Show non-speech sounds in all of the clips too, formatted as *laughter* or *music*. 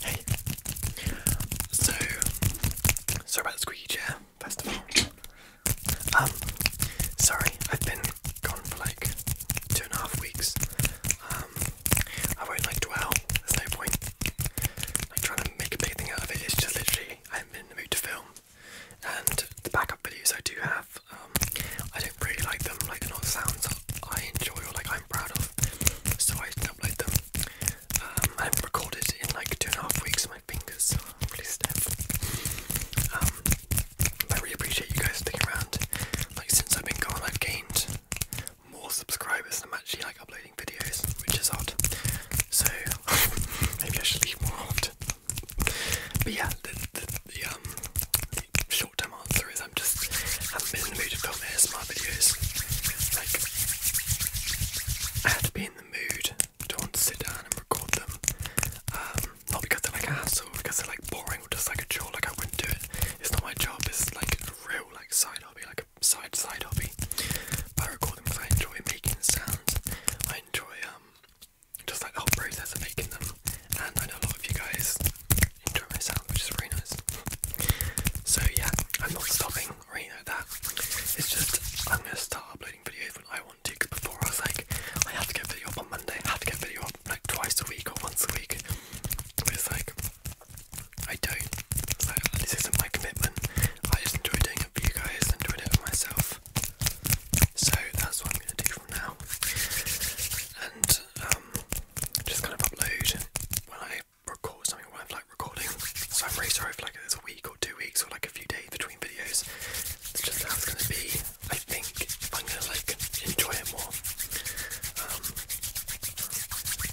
Hey. So, sorry about the squeaky chair, first of all. Um, sorry, I've been gone for like two and a half weeks. Um, I won't like dwell, there's no point. Like trying to make a big thing out of it, it's just literally, I'm in the mood to film. And the backup videos I do have, um, I don't really like them, like they're not sounds I enjoy or like I'm proud of. So I can upload them. Um, I haven't recorded in like two and a half weeks. My fingers are really um, I really appreciate you guys sticking around. Like since I've been gone, I've gained more subscribers than I'm actually like uploading videos, which is odd. So *laughs* maybe I should leave more often. But yeah, the, the um, short time I'll through them. Just haven't in the mood to film ASMR videos. Like, I had to be in the mood to want to sit down and record them. Um, not because they're like a hassle, because they're like boring or just like a chore. Like I wouldn't do it. It's not my job. It's like real like side hobby, like a side side hobby. But I record them because I enjoy making sounds. I enjoy um just like the whole process making them and I know a lot of you guys enjoy my which is really nice. So yeah, I'm not stopping or anything like that. It's just I'm gonna start uploading videos when I want to. Cause before I was like, I have to get video up on Monday, I have to get video up like twice a week or once a week. But like I don't. this isn't my commitment. I just enjoy doing it for you guys, enjoy it for myself. So that's what I'm gonna do from now. And um, just kind of upload when I record something when I'm like recording. So I'm really sorry like there's a week or two weeks or like a few days between videos. It's just how it's gonna be. I think I'm gonna like enjoy it more. Um,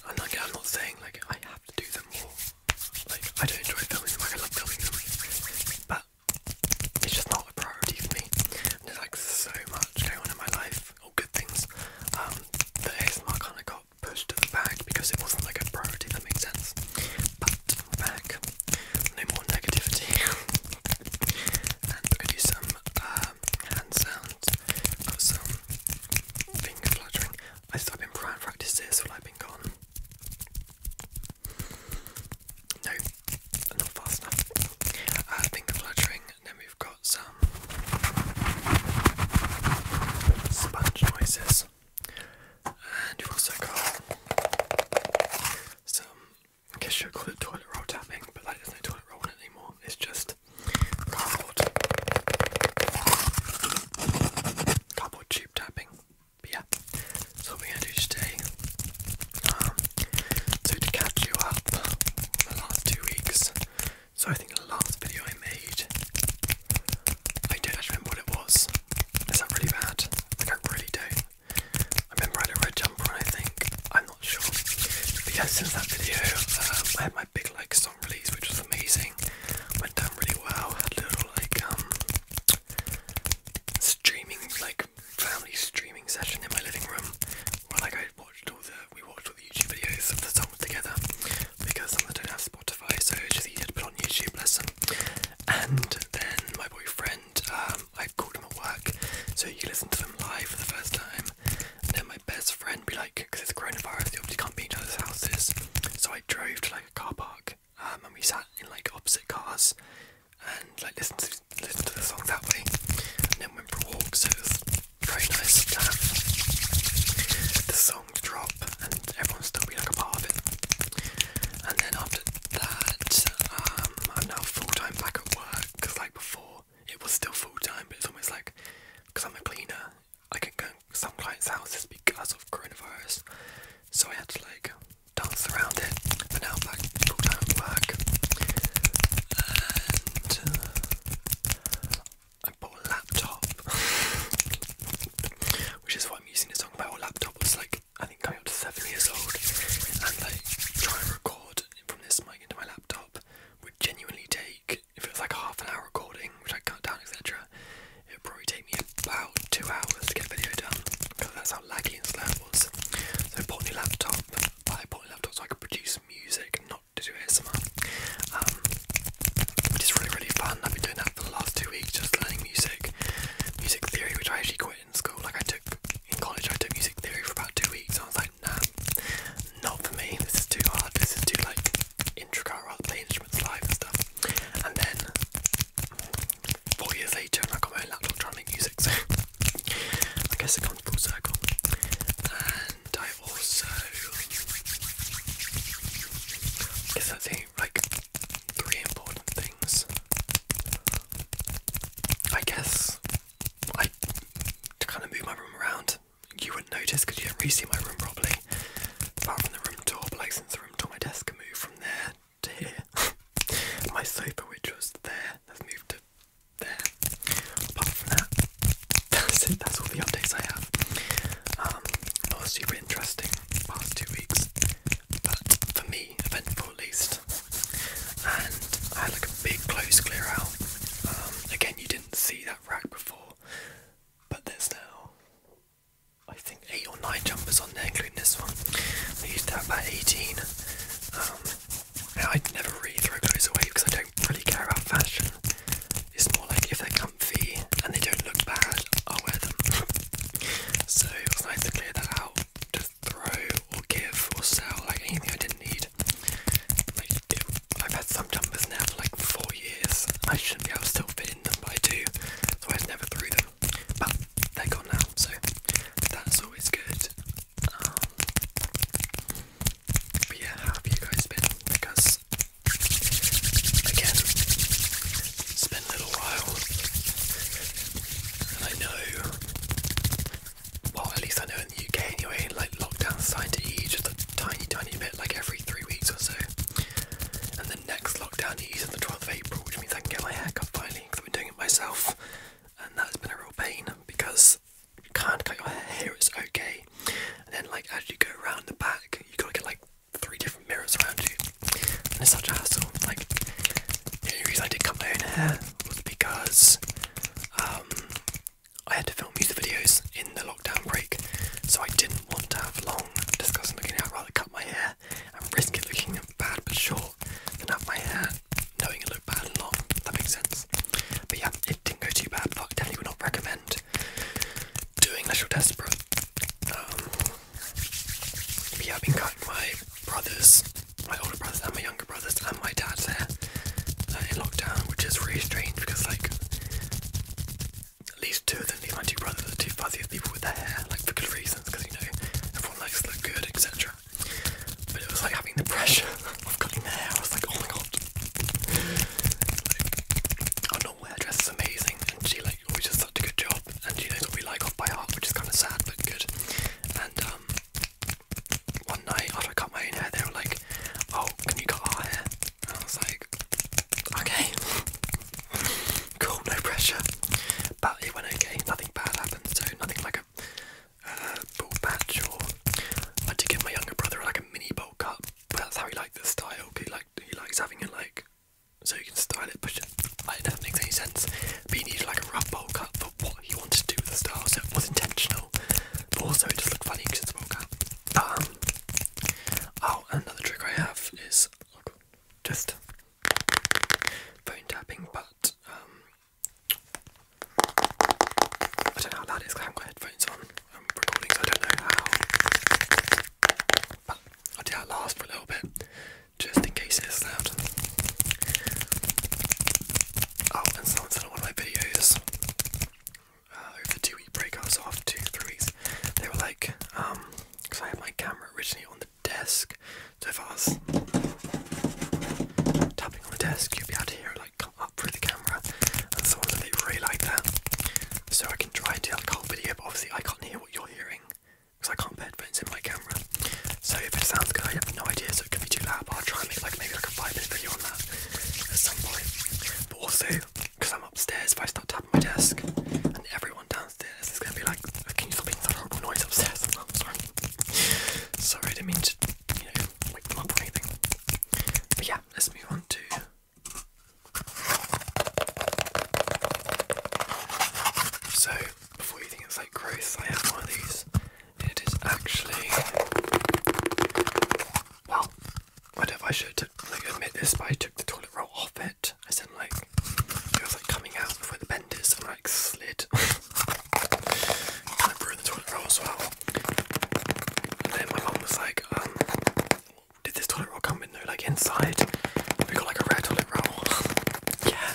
and like I'm not saying like I have to do them more. Like I do enjoy filming I love filming But it's just not a priority for me. there's like so much going on in my life good things. Um, the ASMR kind of got pushed to the back because it wasn't like a priority, that makes sense. But back, no more negativity. *laughs* and we're gonna do some um, hand sounds, got some finger fluttering. I have been practicing this while I've been gone. No, not fast enough. Uh, finger fluttering, and then we've got some sponge noises, and we've also got some. I guess you'll call it toilet roll tapping, but like there's no toilet roll in it anymore. It's just cardboard, cardboard tube tapping. yeah, so what we're gonna do today um, so to catch you up the last two weeks, so I think the last video I made, I don't actually remember what it was. Is that really bad? I don't really do I remember I had a red jumper on I think. I'm not sure. But yeah, since that video, um, I had my big like song release which was amazing. Went down really well. Had a little like um, streaming like family streaming session in my living room While I I watched all the we watched all the YouTube videos of the song together because some of them don't have Spotify so it's just had to put on YouTube lesson. And then my boyfriend, um, I called him at work so you can listen to them live for the first time. And then my best friend be like, because it's coronavirus, you obviously can't be in each other's houses. So I drove to like a car park um, and we sat in like opposite cars and like listened to to the song that way. And then went for a walk, so it was very nice to the song drop and everyone still be like a part of it. And then after that, um, I'm now full time back at work because, like before, it was still full time, but it's almost like because I'm a cleaner, I can go some clients' houses because of coronavirus, so I had to like dance around it. But now I'm back uh, bought a laptop, *laughs* which is what I'm using to talk about. A laptop was like, I think, coming up seven years old, and like trying to record from this mic into my laptop would genuinely take, if it was like half an hour recording, which I cut down, etc., it would probably take me about two hours to get a video done because that's how laggy and slow it was. So bought new laptop I bought a laptop so I could produce music, not to do ASMR. which um, is really, really fun. I've been doing that for the last two weeks, just learning music, music theory, which I actually quit in school. Like I took in college, I took music theory for about two weeks. And I was like, nah, not for me. This is too hard. This is too like intricate. I'll play instruments live and stuff. And then four years later and I got my laptop trying to make music, so I guess it comes full circle. And I also I guess that's like three important things. I guess I to kind of move my room around. You wouldn't notice because you don't really see my room properly. Apart from the room tour, but like the room tour my desk can move from there here. My sofa, which was there, has moved to there. Apart from that, that's it. That's all the updates I have. Um, not super interesting past two weeks, but for me, eventful least. And I had like a big clothes clear out. Um, again, you didn't see that rack before, but there's now. I think eight or nine jumpers on there, including this one. I used to have about 18, um, I never really throw clothes away because I don't really care about fashion. It's more like if they're comfy and they don't look bad, I'll wear them. *laughs* so it was nice to clear that out, to throw or give or sell like anything I didn't need. Like I've had some jumpers now for like four years. I shouldn't be still fit in them, but I do. So I never threw them. But they're gone now, so that's always good. Um, but yeah, have you guys been? Because again, it's been a little while, and I know, well, at least I know in the UK anyway, like lockdown's starting to ease just a tiny, tiny bit, like every three weeks or so. And the next lockdown ease on the 12th April, which means I can get my haircut finally because I've been doing it myself and that's been a real pain because you can't cut your hair, it's okay. And then, like, as you go around the back, you gotta get like three different mirrors around you, and it's such a hassle. Like, the reason I did cut my own hair was because um, I had to film music videos in the lockdown break, so I didn't want to have long discussing looking at. I'd rather cut my hair I'm risking looking bad but sure. Then up my hair, knowing it looked bad and long. That makes sense. But yeah, it didn't go too bad, Fuck, I definitely would not recommend doing unless you're desperate. Um, I've been cutting my brothers, my older brothers and my younger brothers and my dad's hair uh, in lockdown, which is really strange because like at least two of them, at least two brothers, are the two fuzziest people with their hair, like for good reasons, because you know, front legs look good, etc. But it was like having the pressure *laughs* of cutting hair. I was like, oh my god. I know hairdresser's amazing, and she like always does such a good job, and she knows what we like off by heart, which is kind of sad but good. And um, one night after I cut my own hair, they were like, oh, can you cut our hair? And I was like, okay. *laughs* Cool, no pressure. But it went okay. Nothing bad happened. So nothing like a uh, ball patch or I did give my younger brother like a mini bowl cut. But that's how he liked the style. He like he likes having it like so you can style it, But I don't know if that makes any sense. But he needed like a rough bowl cut for what he wanted to do with the style, so it was intentional. But also it just looked funny because it's a bowl cut. Um, oh, another trick I have is oh, just phone tapping, but um, I don't know how loud it is because I haven't headphones on. I'm recording, so I don't know how. But I'll do that last for a little bit, just in case it's loud. Oh, and someone said on one of my videos uh, over two week break, I off two, three They were like, um, because I had my camera originally on the desk. So if I was tapping on the desk, you'd be able to hear like come up through the camera. And so I really, really like that. So I can try and do like a whole video, but obviously I can't hear what you're hearing because I can't put headphones in my camera. So if it sounds good, I have no idea, so it could be too loud. But I'll try and make like maybe like a five minute video on that at some point. But also, because I'm upstairs, if I start tapping my desk and everyone downstairs this is gonna be like, can you stop making that horrible noise upstairs? sorry. sorry, I didn't mean to, wake them up or anything. But yeah, let's move on to. So, before you think it's like growth, I have one of these. It is actually. Well, I do I should like, admit this, but I took the toilet roll off it I said, i like, it was like coming out of where the bend is, and I like slid. kind of ruined the toilet roll as well. then my mum was like, um, did this toilet roll come with no like inside? We got like a rare toilet roll. *laughs* yeah.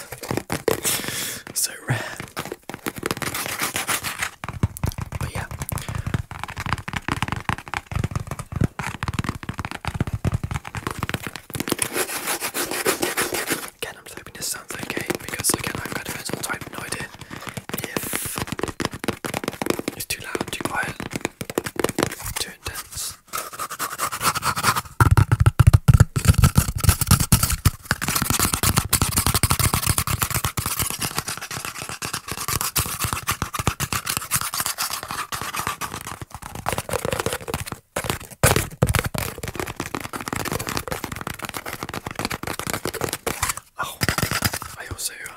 so rare. But yeah. Again, i just hoping this sounds okay because again, I've got a mental time no idea it's too loud, too quiet, too intense. Oh, I also um,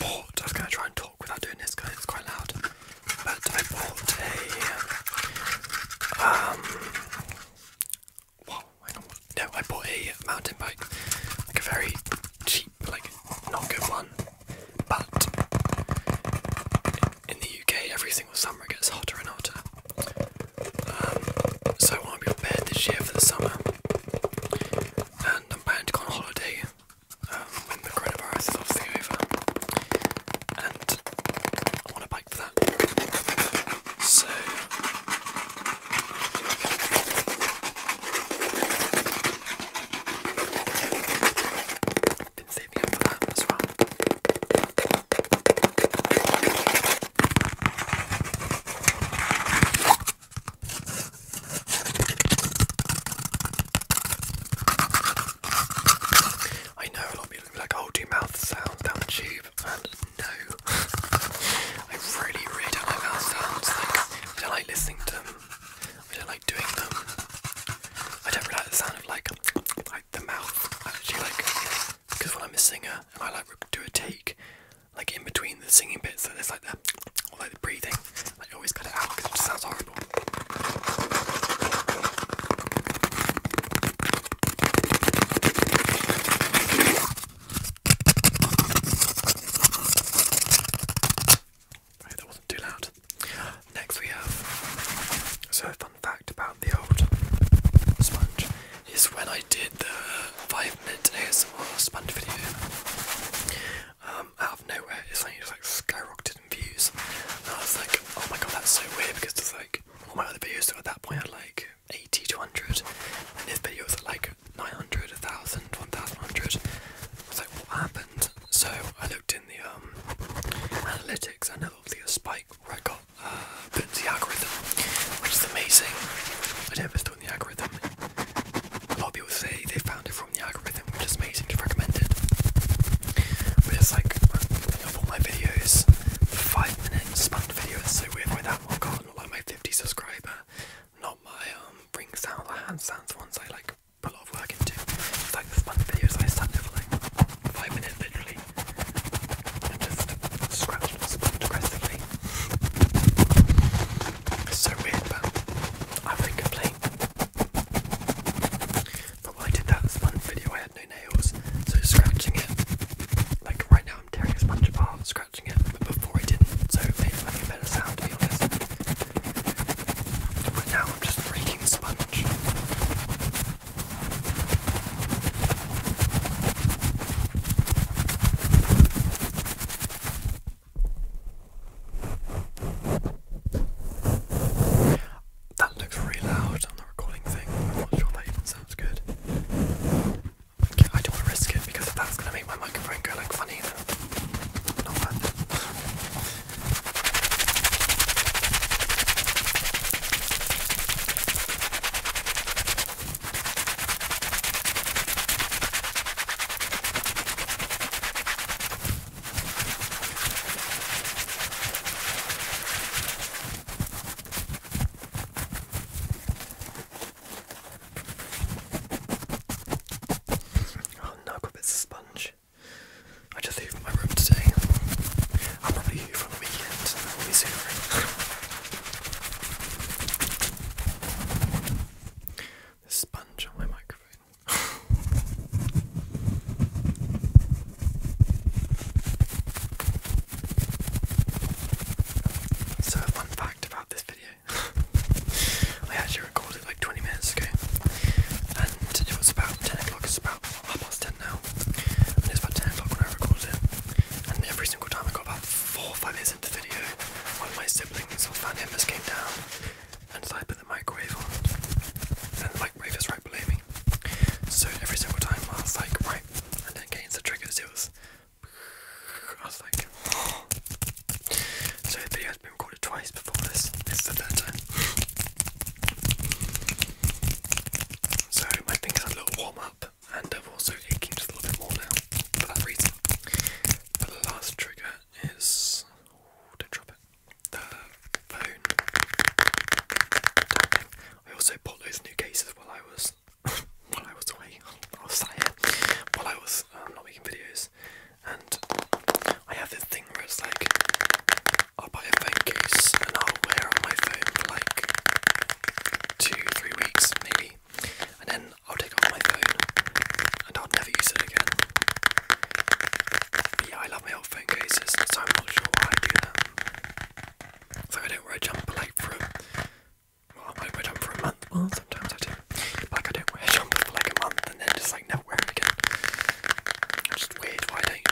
bought. I was gonna try and talk without doing this because it's quite loud. But I bought a um. No, I bought a mountain bike, like a very cheap, like not good one. But in the UK, every single summer it gets hotter and hotter. Um, so I want to be prepared this year for the summer. And I'm planning to go on holiday um, when the coronavirus is obviously over. And I want a bike for that. So. I know a lot of people like, oh, do mouth sounds down the tube, and no. *laughs* I really, really don't like mouth sounds. Like, I don't like listening to them. I don't like doing them. I don't really like the sound of like like the mouth actually like because when I'm a singer and I like do a take like in between the singing bits, so there's like that or like the breathing. I always cut it out because it just sounds horrible. Right, that wasn't too loud. Next, we have so fun fact about the old sponge is when I did the five minute ASMR sponge video. Um, out of nowhere, it's like skyrocketed in views. And I was like, oh my god, that's so weird because it's like all my other videos at that point I had like 80 to 100, and this video was like like 900, 1000, 1100. I what happened? So I looked in the um, analytics and obviously a spike where I got uh, put into the algorithm, which is amazing. I never not the algorithm. A lot of people say they found it from the algorithm, which is amazing to recommend it. But it's like, of all my videos, 5 minute span videos, so weird by that one, God, not like my 50 subscriber not my um ring sounds, my hand sounds ones I like put a lot of work into. like this month videos I sat there for like five minutes literally and just scratched and It's so weird but I wouldn't complain. But when I did that sponge video I had no nails, so scratching it like right now I'm tearing a sponge apart, scratching scratching it, but before I didn't, so it made a really better sound to be honest. But now I'm just breaking the sponge. That looks really loud on the recording thing. I'm not sure that even sounds good. I don't want to risk it because if that's going to make my microphone go like funny, then not worth it. Oh no, i got bits of sponge. I just leave my room today. I'll probably hoover on the weekend. I will sponge on my microphone. *laughs* So, one fact about this video I actually recorded like 20 minutes ago, and it was about 10 o'clock. It's about half past 10 now, and it's about 10 o'clock when I recorded it. And every single time I got about four or five minutes into the video, one of my siblings or family members came down, and so I put the microwave on, and the microwave is right below me. So every single time I was like, right, and then gains the triggers, it was *sighs* I *sighs* so the video has been recorded twice before this. This is the third time. So my fingers are a little warm up, and I'm also aching a little bit more now for that reason. But the last trigger is don't drop it. The phone. I also bought those new cases while I was while I was away, I was sat here, while I was um, not making videos, and I have this thing where it's like, I'll buy a phone case and I'll wear on my phone for like two, three weeks maybe, and then I'll take off my phone and I'll never use it again. I love my old phone cases, so I'm not sure why I do that. So I don't wear a jumper like for I wear them for a month. sometimes I do. like I don't wear them for like a month and then just like never wear them again. It's just weird why don't.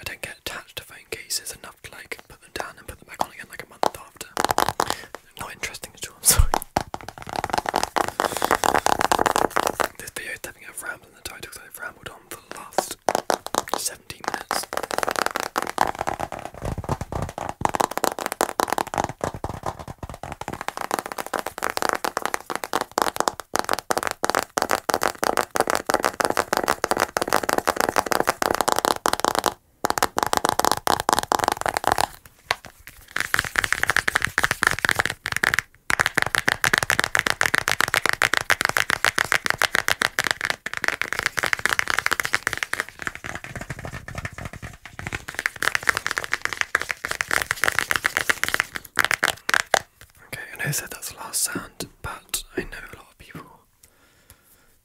I don't get attached to phone cases enough to like put them down and put them back on again like a month after. Not interesting at all. *laughs* I'm sorry. This video is having a ramble the title because I've rambled on for the last 17 minutes. Okay, and I said that's the last sound, but I know a lot of people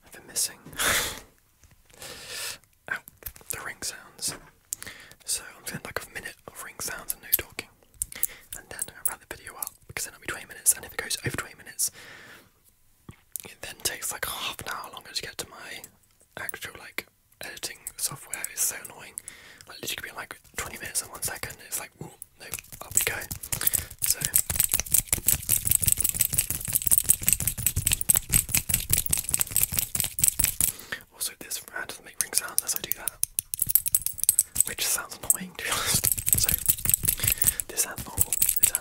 have been missing *laughs* out the ring sounds. So I'm going doing like a minute of ring sounds and no talking. And then I'll wrap the video up because then it'll be 20 minutes, and if it goes over 20 minutes, it then takes like half an hour longer to get to my actual like editing software. It's so annoying. Like literally be like 20 minutes and one second. It's like, whoa, we go. So. Also, this fan doesn't make ring sounds as I do that, which sounds annoying be honest. So, this sounds This sounds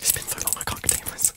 It's been so long I can't contain myself.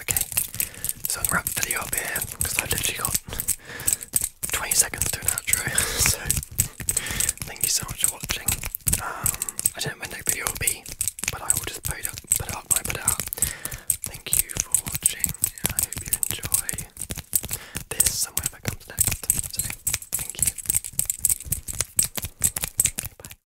Okay, so I'm gonna wrap the video up here because I've literally got 20 seconds to an outro. *laughs* so thank you so much for watching. Um, I don't know when the next video will be, but I will just put it up, put Thank you for watching. I hope you enjoy this somewhere comes next. So thank you. Okay, bye.